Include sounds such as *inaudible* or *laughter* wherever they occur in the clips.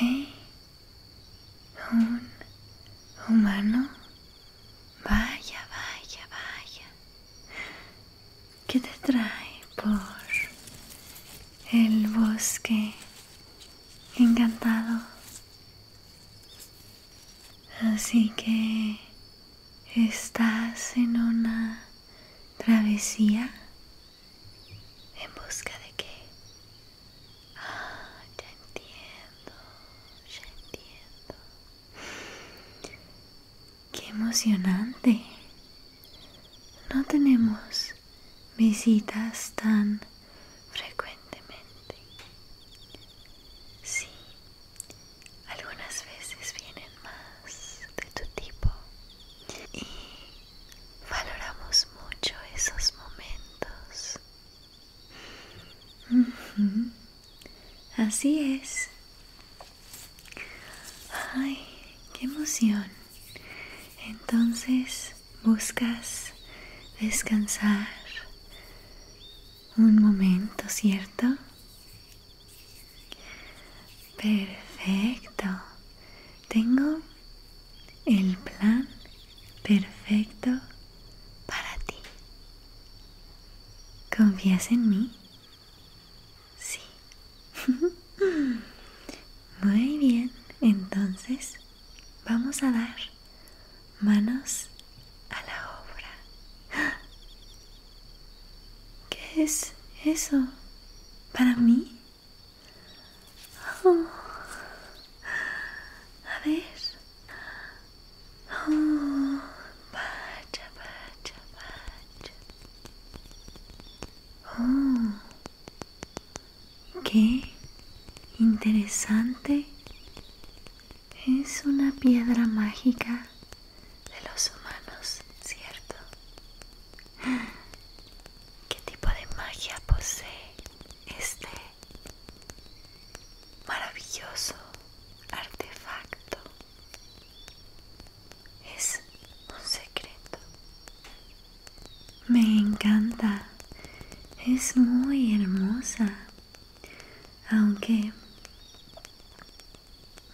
¿Eh? ¿Un humano? Vaya, vaya, vaya. ¿Qué te trae por el bosque encantado. Así que estás en una travesía en busca de qué. Ah, ya entiendo, ya entiendo. Qué emocionante. No tenemos visitas tan frecuentemente? Sí, algunas veces vienen más de tu tipo y valoramos mucho esos momentos. Así es. Ay, qué emoción. Entonces buscas descansar un momento, ¿cierto? Perfecto. Tengo el plan perfecto para ti. ¿Confías en mí? Sí. *laughs* Muy bien, entonces Vamos a dar manos a la obra. *gasps* ¿Qué es eso? ¿Para mí? Oh. A ver. Oh, oh. Qué interesante. Es una piedra mágica de los humanos, ¿cierto? ¿Qué tipo de magia posee este maravilloso artefacto? Es un secreto me encanta. Es muy hermosa. Aunque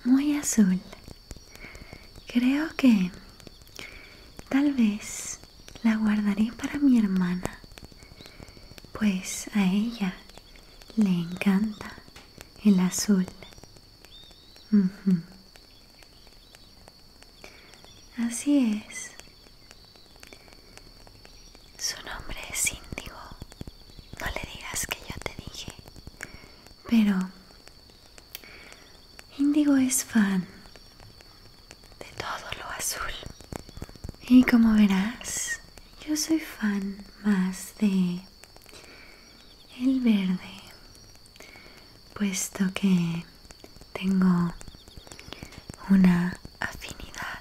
muy azul. Creo que tal vez la guardaré para mi hermana. Pues a ella le encanta el azul. Así es. Su nombre es Índigo. No le digas que yo te dije. Pero Índigo es fan de todo lo azul. Y como verás, yo soy fan más de el verde puesto que tengo una afinidad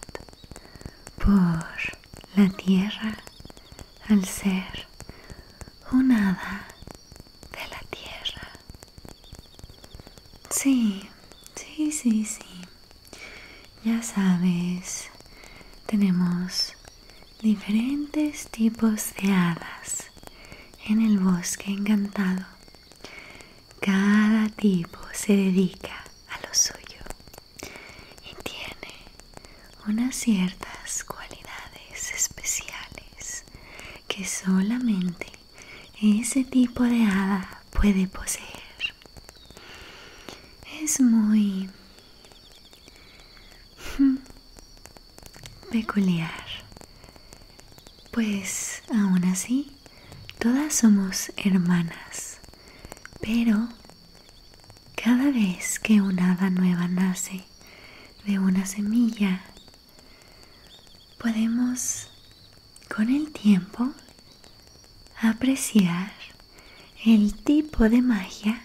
por la tierra al ser un hada de la tierra. Sí, sí, sí, sí. Ya sabes, tenemos diferentes tipos de hadas en el bosque encantado cada tipo se dedica a lo suyo y tiene unas ciertas cualidades especiales que solamente ese tipo de hada puede poseer. Es muy hmm, peculiar, pues aún así Todas somos hermanas, pero cada vez que una hada nueva nace de una semilla, podemos con el tiempo apreciar el tipo de magia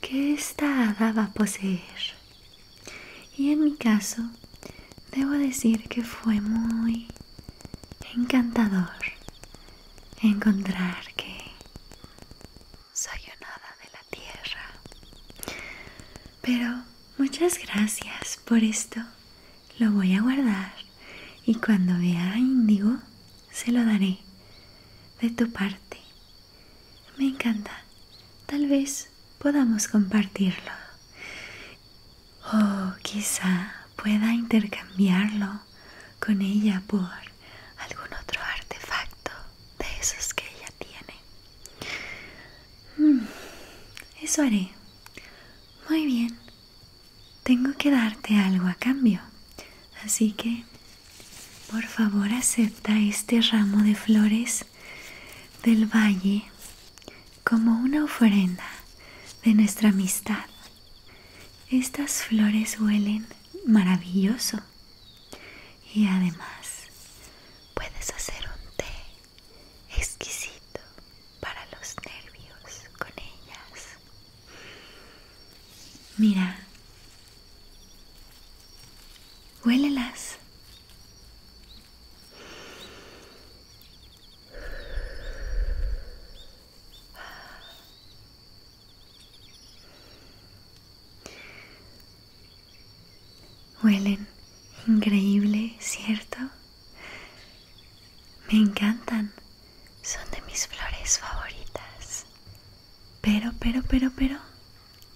que esta hada va a poseer. Y en mi caso, debo decir que fue muy encantador encontrar que soy nada de la tierra. Pero muchas gracias por esto. Lo voy a guardar y cuando vea índigo se lo daré de tu parte. Me encanta. Tal vez podamos compartirlo. O quizá pueda intercambiarlo con ella por algún otro artefacto de esos que ella tiene. Mm, eso haré. Muy bien. Tengo que darte algo a cambio. Así que, por favor, acepta este ramo de flores del valle como una ofrenda de nuestra amistad. Estas flores huelen maravilloso y además puedes hacer un té exquisito para los nervios con ellas. Mira, huélelas Huelen increíble, ¿cierto? Me encantan. Son de mis flores favoritas. Pero, pero, pero, pero,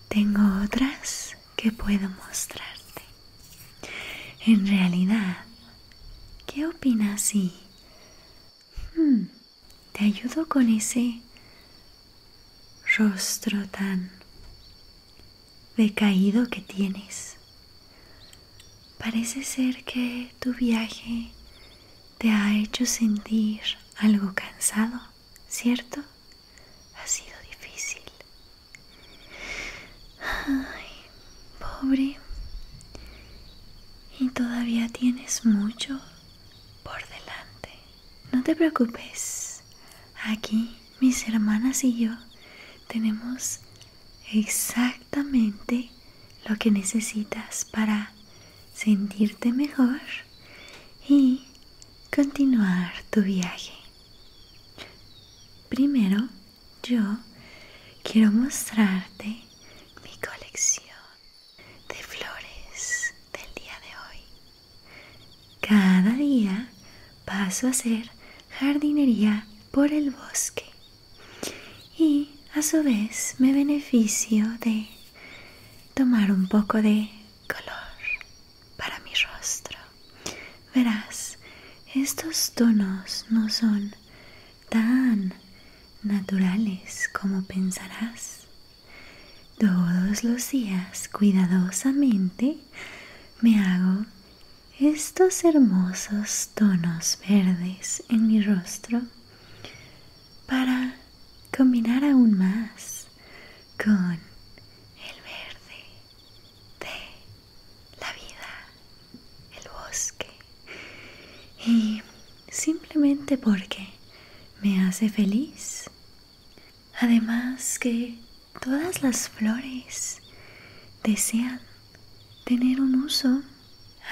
tengo otras que puedo mostrarte. En realidad, ¿qué opinas si hmm, te ayudo con ese rostro tan decaído que tienes? Parece ser que tu viaje te ha hecho sentir algo cansado, ¿cierto? Ha sido difícil. Ay, pobre. Y todavía tienes mucho por delante. No te preocupes. Aquí mis hermanas y yo tenemos exactamente lo que necesitas para sentirte mejor y continuar tu viaje. Primero, yo quiero mostrarte mi colección de flores del día de hoy. Cada día paso a hacer jardinería por el bosque y a su vez me beneficio de tomar un poco de color para mi rostro. Verás, estos tonos no son tan naturales como pensarás. Todos los días cuidadosamente me hago estos hermosos tonos verdes en mi rostro para combinar aún más con el verde de la vida, el bosque. Y simplemente porque me hace feliz. Además que todas las flores desean tener un uso.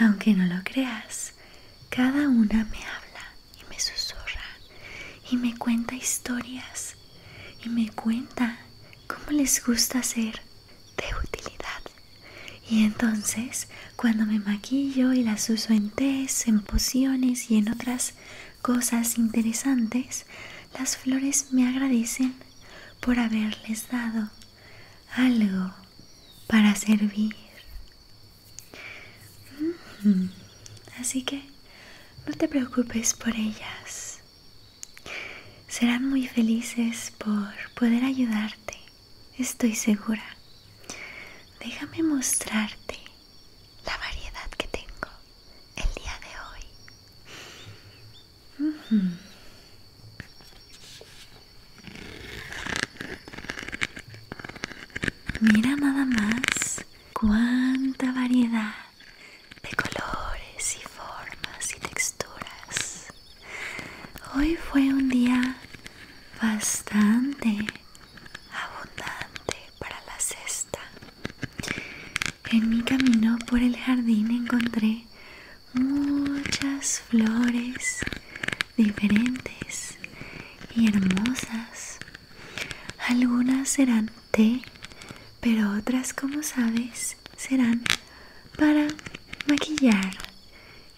Aunque no lo creas, cada una me habla y me susurra y me cuenta historias y me cuenta Cómo les gusta ser de utilidad. Y entonces, cuando me maquillo y las uso en té, en pociones y en otras cosas interesantes, las flores me agradecen por haberles dado algo para servir. Mm, así que no te preocupes por ellas. Serán muy felices por poder ayudarte, estoy segura. Déjame mostrarte la variedad que tengo el día de hoy. Mira nada más cuánta variedad de colores y formas y texturas. Hoy fue un día bastante abundante para la cesta. En mi camino por el jardín encontré muchas flores diferentes y hermosas. Algunas eran pero otras, como sabes, serán para maquillar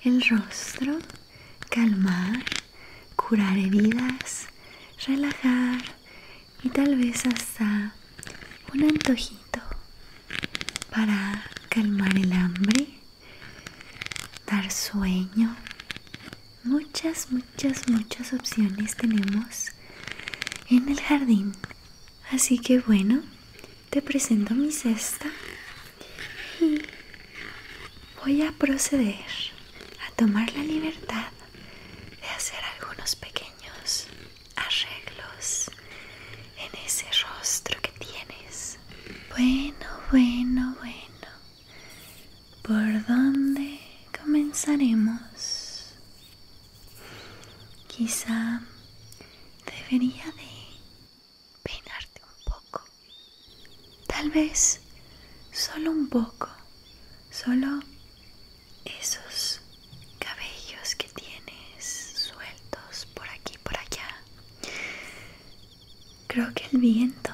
el rostro, calmar, curar heridas, relajar y tal vez hasta un antojito para calmar el hambre, dar sueño. Muchas, muchas, muchas opciones tenemos en el jardín Así que bueno, te presento mi cesta y voy a proceder a tomar la libertad de hacer algunos pequeños arreglos en ese rostro que tienes. Bueno, bueno, bueno. ¿Por dónde comenzaremos? Quizá debería de peinarte un poco. Tal vez solo un poco. Solo esos cabellos que tienes sueltos por aquí, por allá. Creo que el viento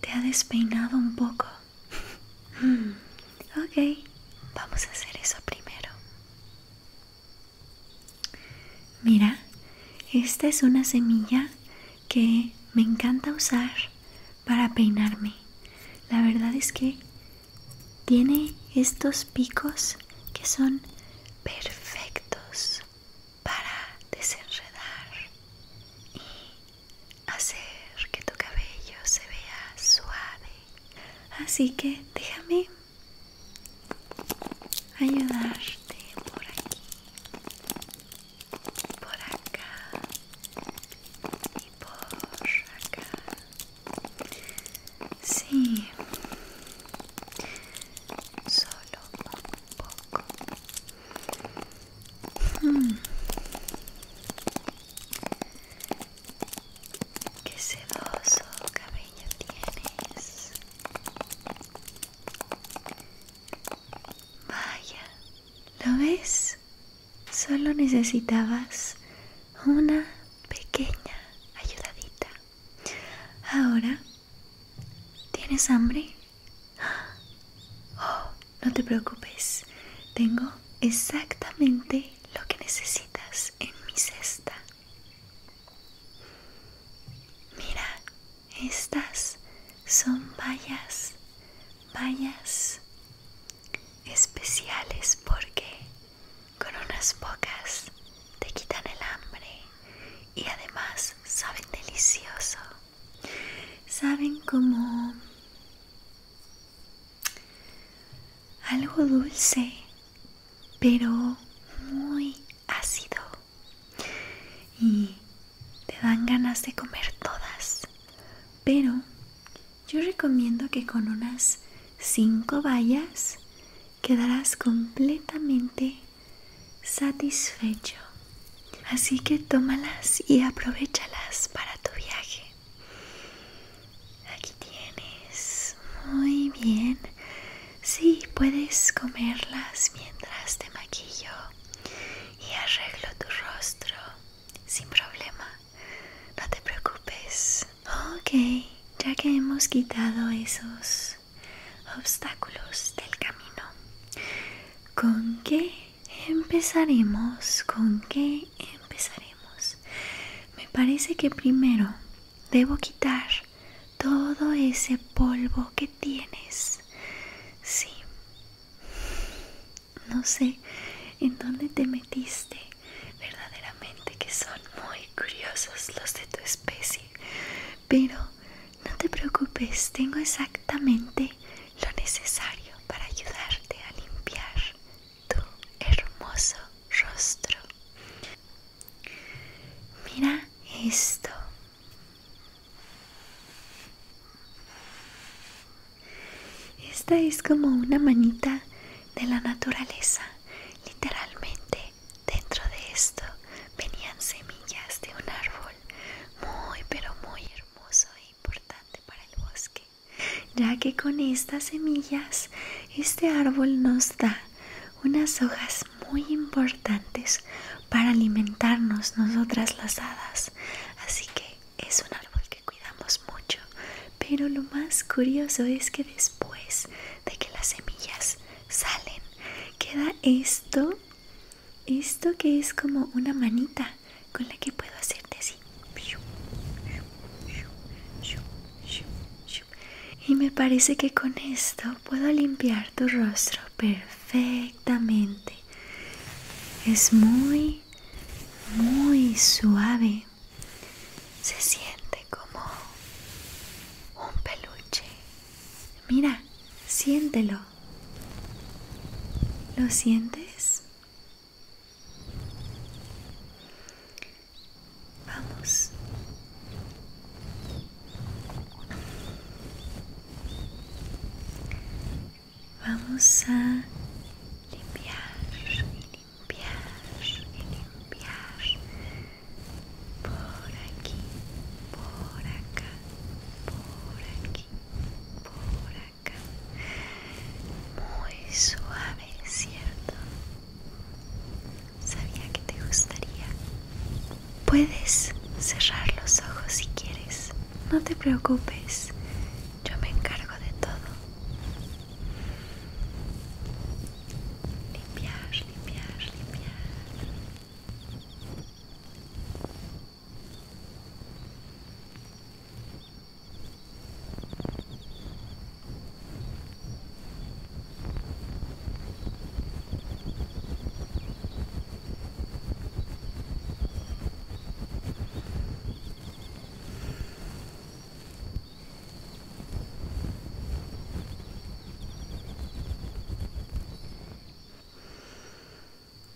te ha despeinado un poco. *laughs* ok, vamos a hacer eso primero. Mira, esta es una semilla que me encanta usar para peinarme. La verdad es que tiene estos picos que son perfectos para desenredar y hacer que tu cabello se vea suave Así que déjame ayudarte por aquí, por acá y por acá. Sí, solo un poco. Hmm. Qué sedoso cabello tienes. Vaya, ¿lo ves? Solo necesitabas una pequeña ayudadita. Ahora, ¿tienes hambre? *gasps* Oh, no te preocupes. Tengo exactamente lo que necesitas en mi cesta. Mira, estas son vallas, vallas especiales porque con unas pocas te quitan el hambre y además saben delicioso. Saben como algo dulce, pero muy ácido. Y te dan ganas de comer todas. Pero yo recomiendo que con unas 5 bayas quedarás completamente satisfecho. Así que tómalas y aprovechalas para tu viaje. Aquí tienes. Muy bien. Sí, puedes comerlas mientras te maquillo y arreglo tu rostro sin problema. No te preocupes. Ok, ya que hemos quitado esos obstáculos del camino, ¿con qué empezaremos? ¿Con qué empezaremos? Me parece que primero debo quitar todo ese polvo que tienes. Sí. No sé en dónde te metiste. Verdaderamente que son muy curiosos los de tu especie. Pero no te preocupes, tengo exactamente lo necesario para ayudarte a limpiar tu hermoso rostro. Mira esto. Esta es como una manita de la naturaleza. Literalmente dentro de esto venían semillas de un árbol muy pero muy hermoso e importante para el bosque ya que con estas semillas este árbol nos da unas hojas muy importantes para alimentarnos nosotras las hadas. Así que es un árbol que cuidamos mucho. Pero lo más curioso es que después de que las semillas salen, queda esto, esto que es como una manita con la que puedo hacer silencio y me parece que con esto puedo limpiar tu rostro perfectamente. Es muy, muy suave. Se siente como un peluche. Mira, siéntelo. ¿Lo sientes? Vamos. Vamos a limpiar, e limpiar, e limpiar por aqui, por acá, por aqui, por acá, muito suave. es ¿cierto? Sabía que te gustaría. Puedes cerrar los ojos si quieres. No te preocupes. Yo me encargo de todo. Limpiar, limpiar, limpiar.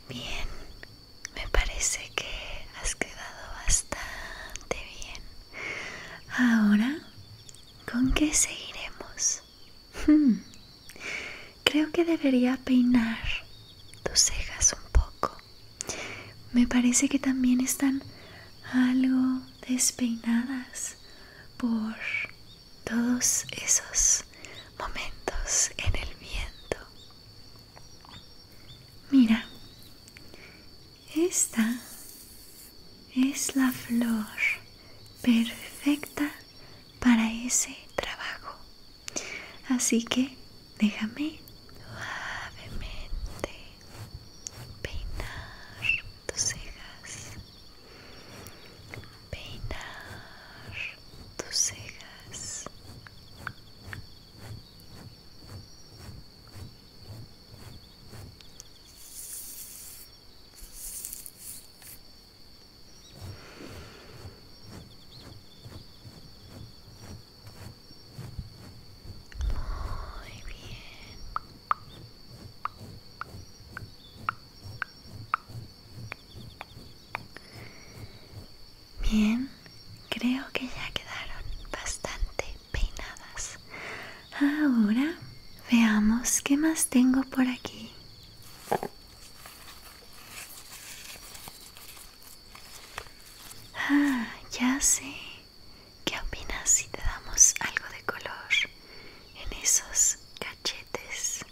Bien, me parece que has quedado bastante bien. Ahora, ¿con qué seguiremos? Hmm. Creo que debería peinar tus cejas un poco. Me parece que también están algo despeinadas por todos esos momentos en el viento. Mira, esta es la flor perfecta para ese trabajo. Así que déjame suavemente peinar tus cejas. Peinar tus cejas. Muy bien. Bien, creo que ya quedaron bastante peinadas. Ahora veamos qué más tengo por aquí. Ah, ya sé. ¿Qué opinas si te damos algo de color en esos cachetes?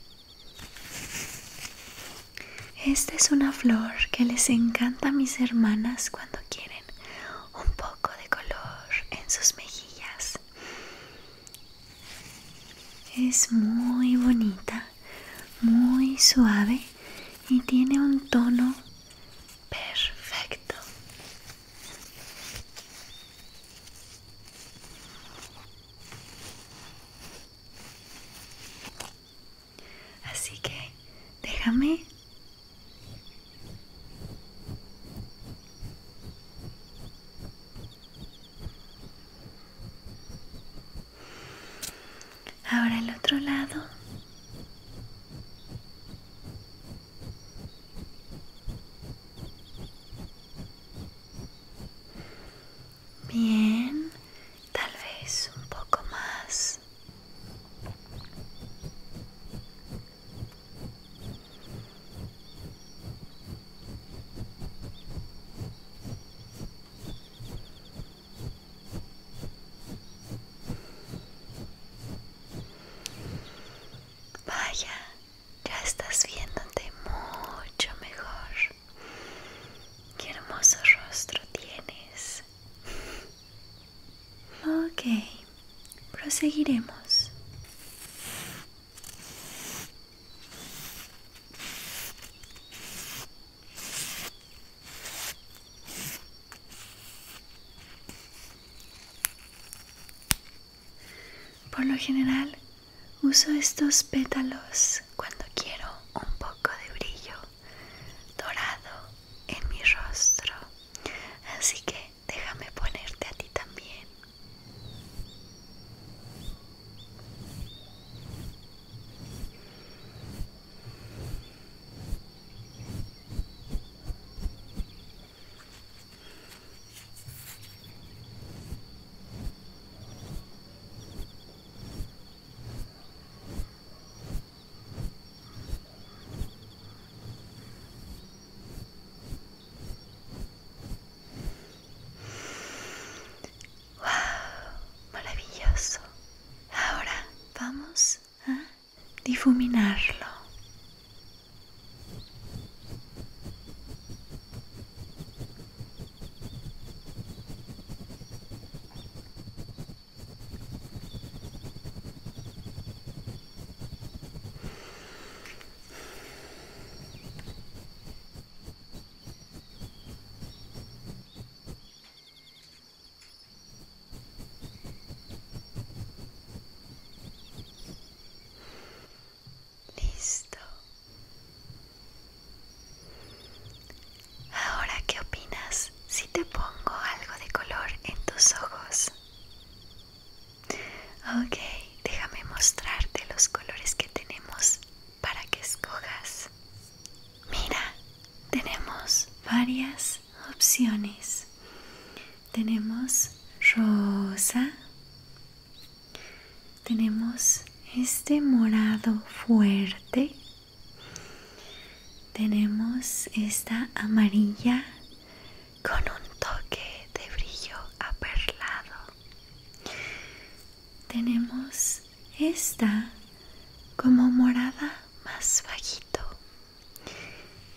Esta es una flor que les encanta a mis hermanas cuando quieren un poco de color en sus mejillas. Es muy bonita, muy suave y tiene un tono perfecto. Así que déjame. Ahora el otro lado. Bien, tal vez un poco más. Vaya, ya estás viéndote mucho mejor. Qué hermoso rostro tienes. Ok, proseguiremos. Por lo general, uso estos pétalos cuando quiero un poco de brillo dorado en mi rostro. Así que déjame ponerte a ti también. Wow, maravilloso. Ahora vamos a difuminarlo. Listo. Ahora, ¿qué opinas? si te pongo algo de color en tus ojos? Ok, déjame mostrarte los colores que tenemos para que escojas. Mira, tenemos varias opciones. Tenemos rosa. Tenemos este morado fuerte tenemos esta amarilla con un toque de brillo aperlado. Tenemos esta como morada más bajito.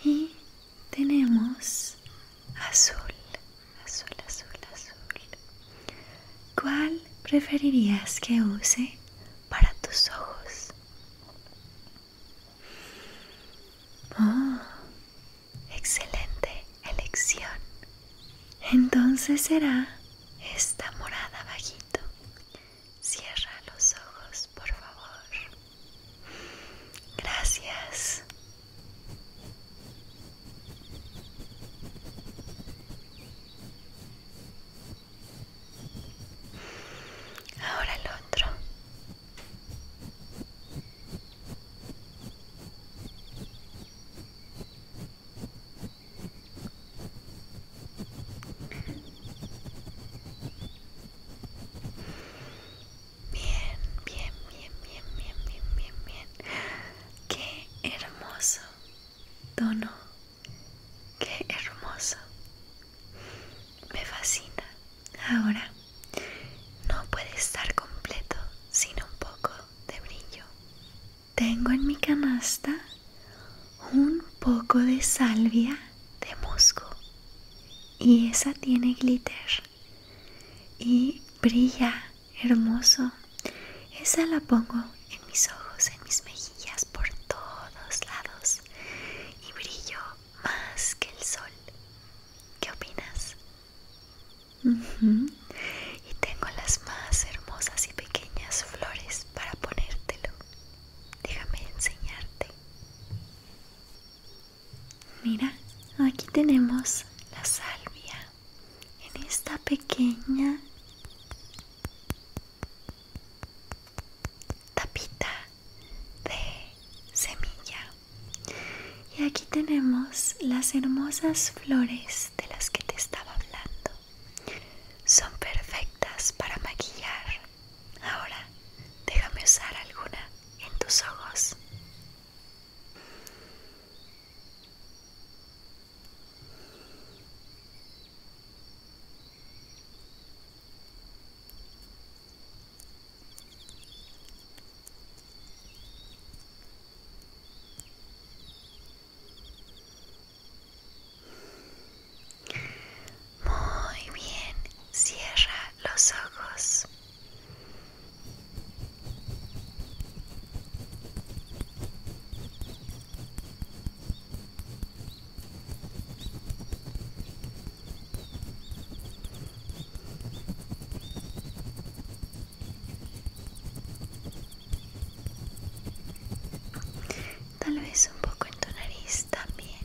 Y tenemos azul, azul, azul, azul. ¿Cuál preferirías que use para tus ojos? Oh, excelente elección. Entonces será esta morada bajito. Cierra los ojos, por favor. Gracias. Ahora el otro. Bien, bien, bien, bien, bien, bien, bien, bien. Qué hermoso tono. Qué hermoso. Me fascina. Ahora no puede estar completo sin un poco de brillo. Tengo en mi canasta un poco de salvia de musgo y esa tiene glitter y brilla hermoso. Esa la pongo en mis ojos, en mis mejillas, por todos lados y brillo más que el sol. ¿Qué opinas? Y tengo las más hermosas y pequeñas flores para ponértelo. Déjame enseñarte. Mira, aquí tenemos la salvia. En esta pequeña tapita de semilla y aquí tenemos las hermosas flores de las que te estaba hablando son perfectas para maquillar ahora déjame usar alguna en tus ojos muy bien, cierra los ojos. Tal vez un poco en tu nariz también.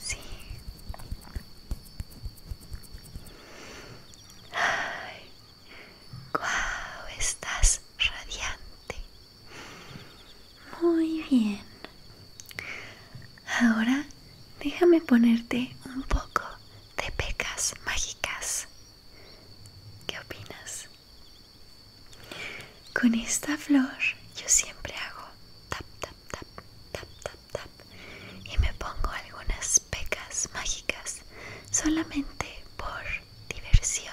Sí. Guau, estás radiante. Muy bien. Ahora déjame ponerte un poco de pecas mágicas. ¿Qué opinas? Con esta flor yo siempre hago tap, tap, tap, tap, tap, tap y me pongo algunas pecas mágicas solamente por diversión.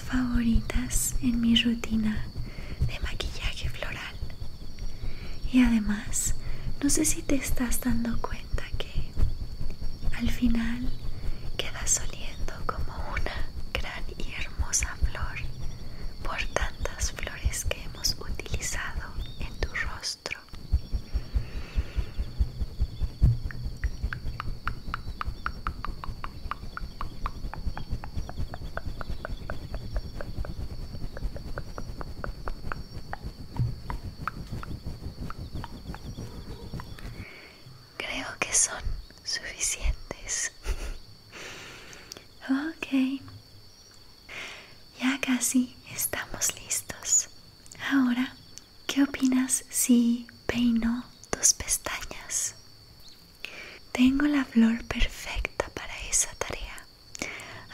favoritas en mi rutina de maquillaje floral. Y además, no sé si te estás dando cuenta que al final quedas oliendo como una gran y hermosa flor por tantas flores que hemos utilizado en tu rostro. Creo que son suficientes. *laughs* ok. Ya casi estamos listos. Ahora ¿Qué opinas si peino tus pestañas? Tengo la flor perfecta para esa tarea.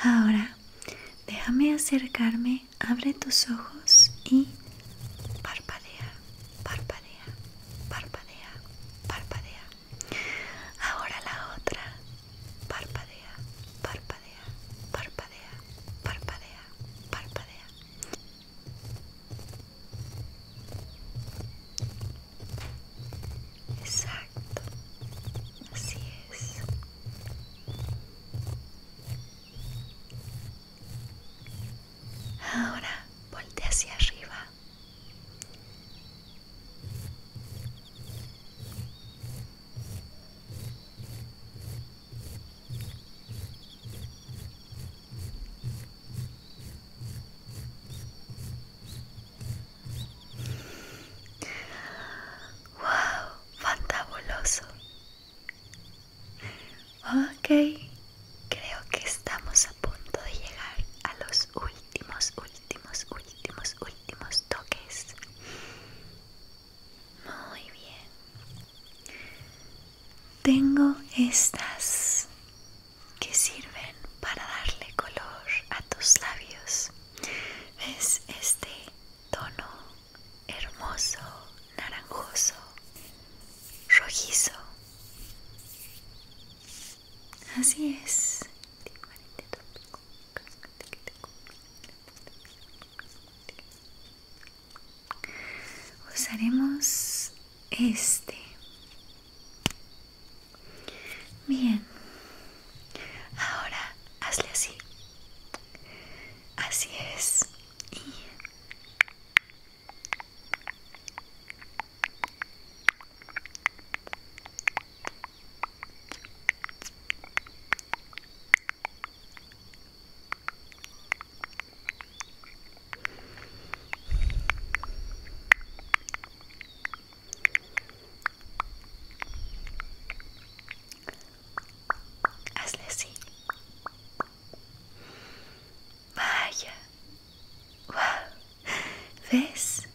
Ahora, déjame acercarme, abre tus ojos y parpadea, parpadea, parpadea, parpadea. Ahora la otra. Parpadea, parpadea, parpadea, parpadea, parpadea. Exacto, así es. Ahora voltea hacia arriba. Wow, fantabuloso. Ok, creo que estamos a punto de llegar a los últimos, últimos, últimos, últimos toques. Muy bien. Tengo estas que sirven para darle color a tus labios. Es este tono hermoso, naranjoso, rojizo? Así es usaremos este bien ahora hazle así así es y Hazle así. Vaya. Wow. ¿Ves?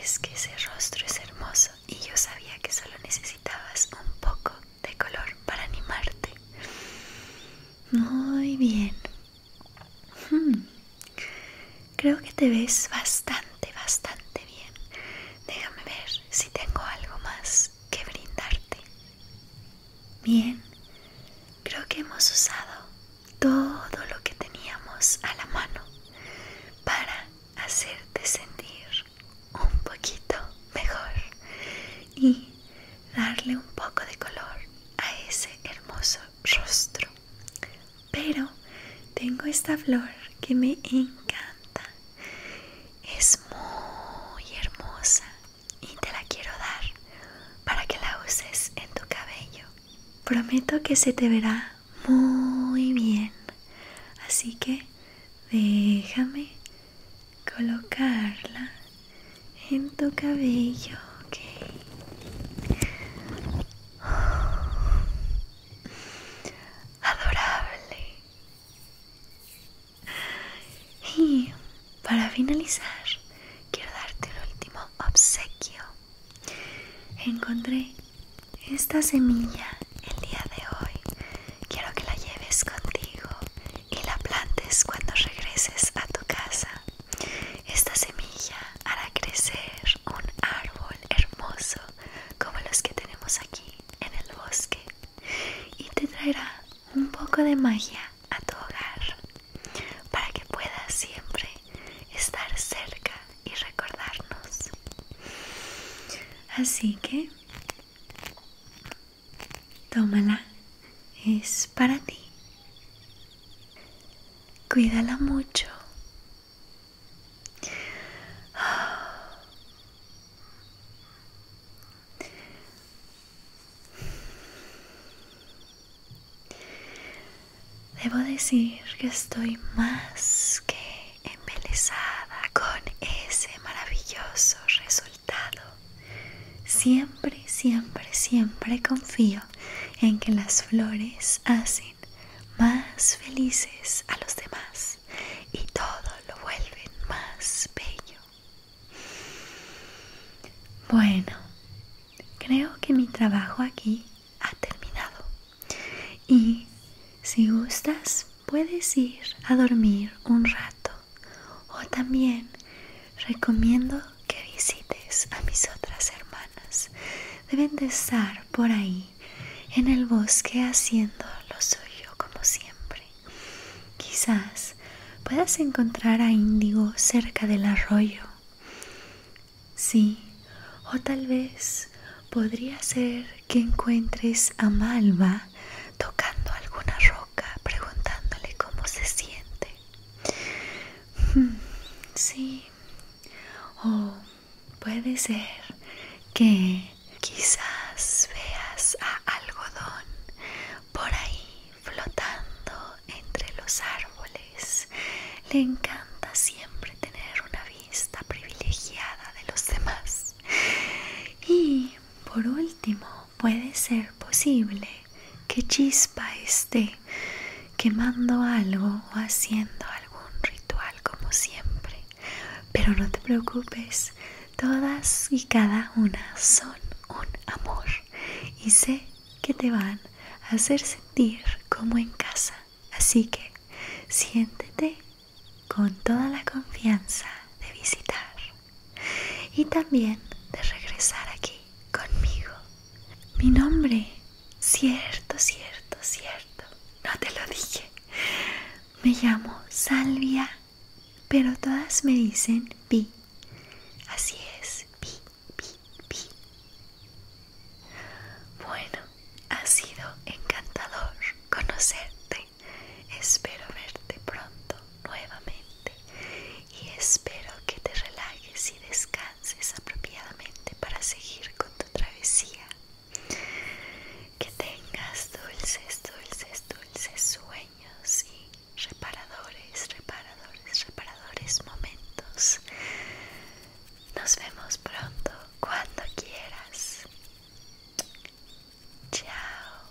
Es que ese rostro es hermoso y yo sabía que solo necesitabas un poco de color para animarte. Muy bien. Hmm. Creo que te ves bastante, bastante bien. Déjame ver si tengo algo más que brindarte. Bien. Creo que hemos usado todo lo que teníamos a la mano para hacerte sentir un poquito mejor y darle un poco de color a ese hermoso rostro. Pero tengo esta flor que me encanta. Es muy hermosa y te la quiero dar para que la uses en tu cabello. Prometo que se te verá muy bien. Así que déjame colocarla en tu cabello, Adorable. Y para finalizar, quiero darte el último obsequio. Encontré esta semilla el día de hoy. Quiero que la lleves contigo y la plantes cuando regreses a tu casa. Esta semilla hará crecer un árbol hermoso como los que tenemos aquí en el bosque y te traerá un poco de magia a tu hogar para que puedas siempre estar cerca y recordarnos. Así que Tómala, es para ti. Cuídala mucho. Debo decir que estoy más que embelesada con ese maravilloso resultado. Siempre, siempre, siempre confío en que las flores hacen más felices a los demás y todo lo vuelven más bello. Bueno, creo que mi trabajo aquí ha terminado. Y si gustas, puedes ir a dormir un rato o también recomiendo que visites a mis otras hermanas. Deben de estar por ahí en el bosque haciendo lo suyo como siempre. Quizás puedas encontrar a Índigo cerca del arroyo. Sí, o tal vez podría ser que encuentres a Malva tocando alguna roca preguntándole cómo se siente. Hmm, sí. O puede ser que quizás veas a algodón por ahí flotando entre los árboles. Le encanta siempre tener una vista privilegiada de los demás. Y por último, puede ser posible que Chispa esté quemando algo o haciendo algún ritual como siempre. Pero no te preocupes, todas y cada una son un amor y sé que te van a hacer sentir como en casa. Así que siéntete con toda la confianza de visitar y también de regresar aquí conmigo. Mi nombre, cierto, cierto, cierto, no te lo dije. Me llamo Salvia, pero todas me dicen Pi. Así es, Pi, Pi, Pi. Bueno, ha sido encantador conocerte. Espero verte pronto nuevamente y espero que te relajes y descanses apropiadamente para seguir con tu travesía. Que tengas dulces, dulces, dulces sueños y reparadores, reparadores, reparadores momentos. Nos vemos pronto cuando quieras. Chao.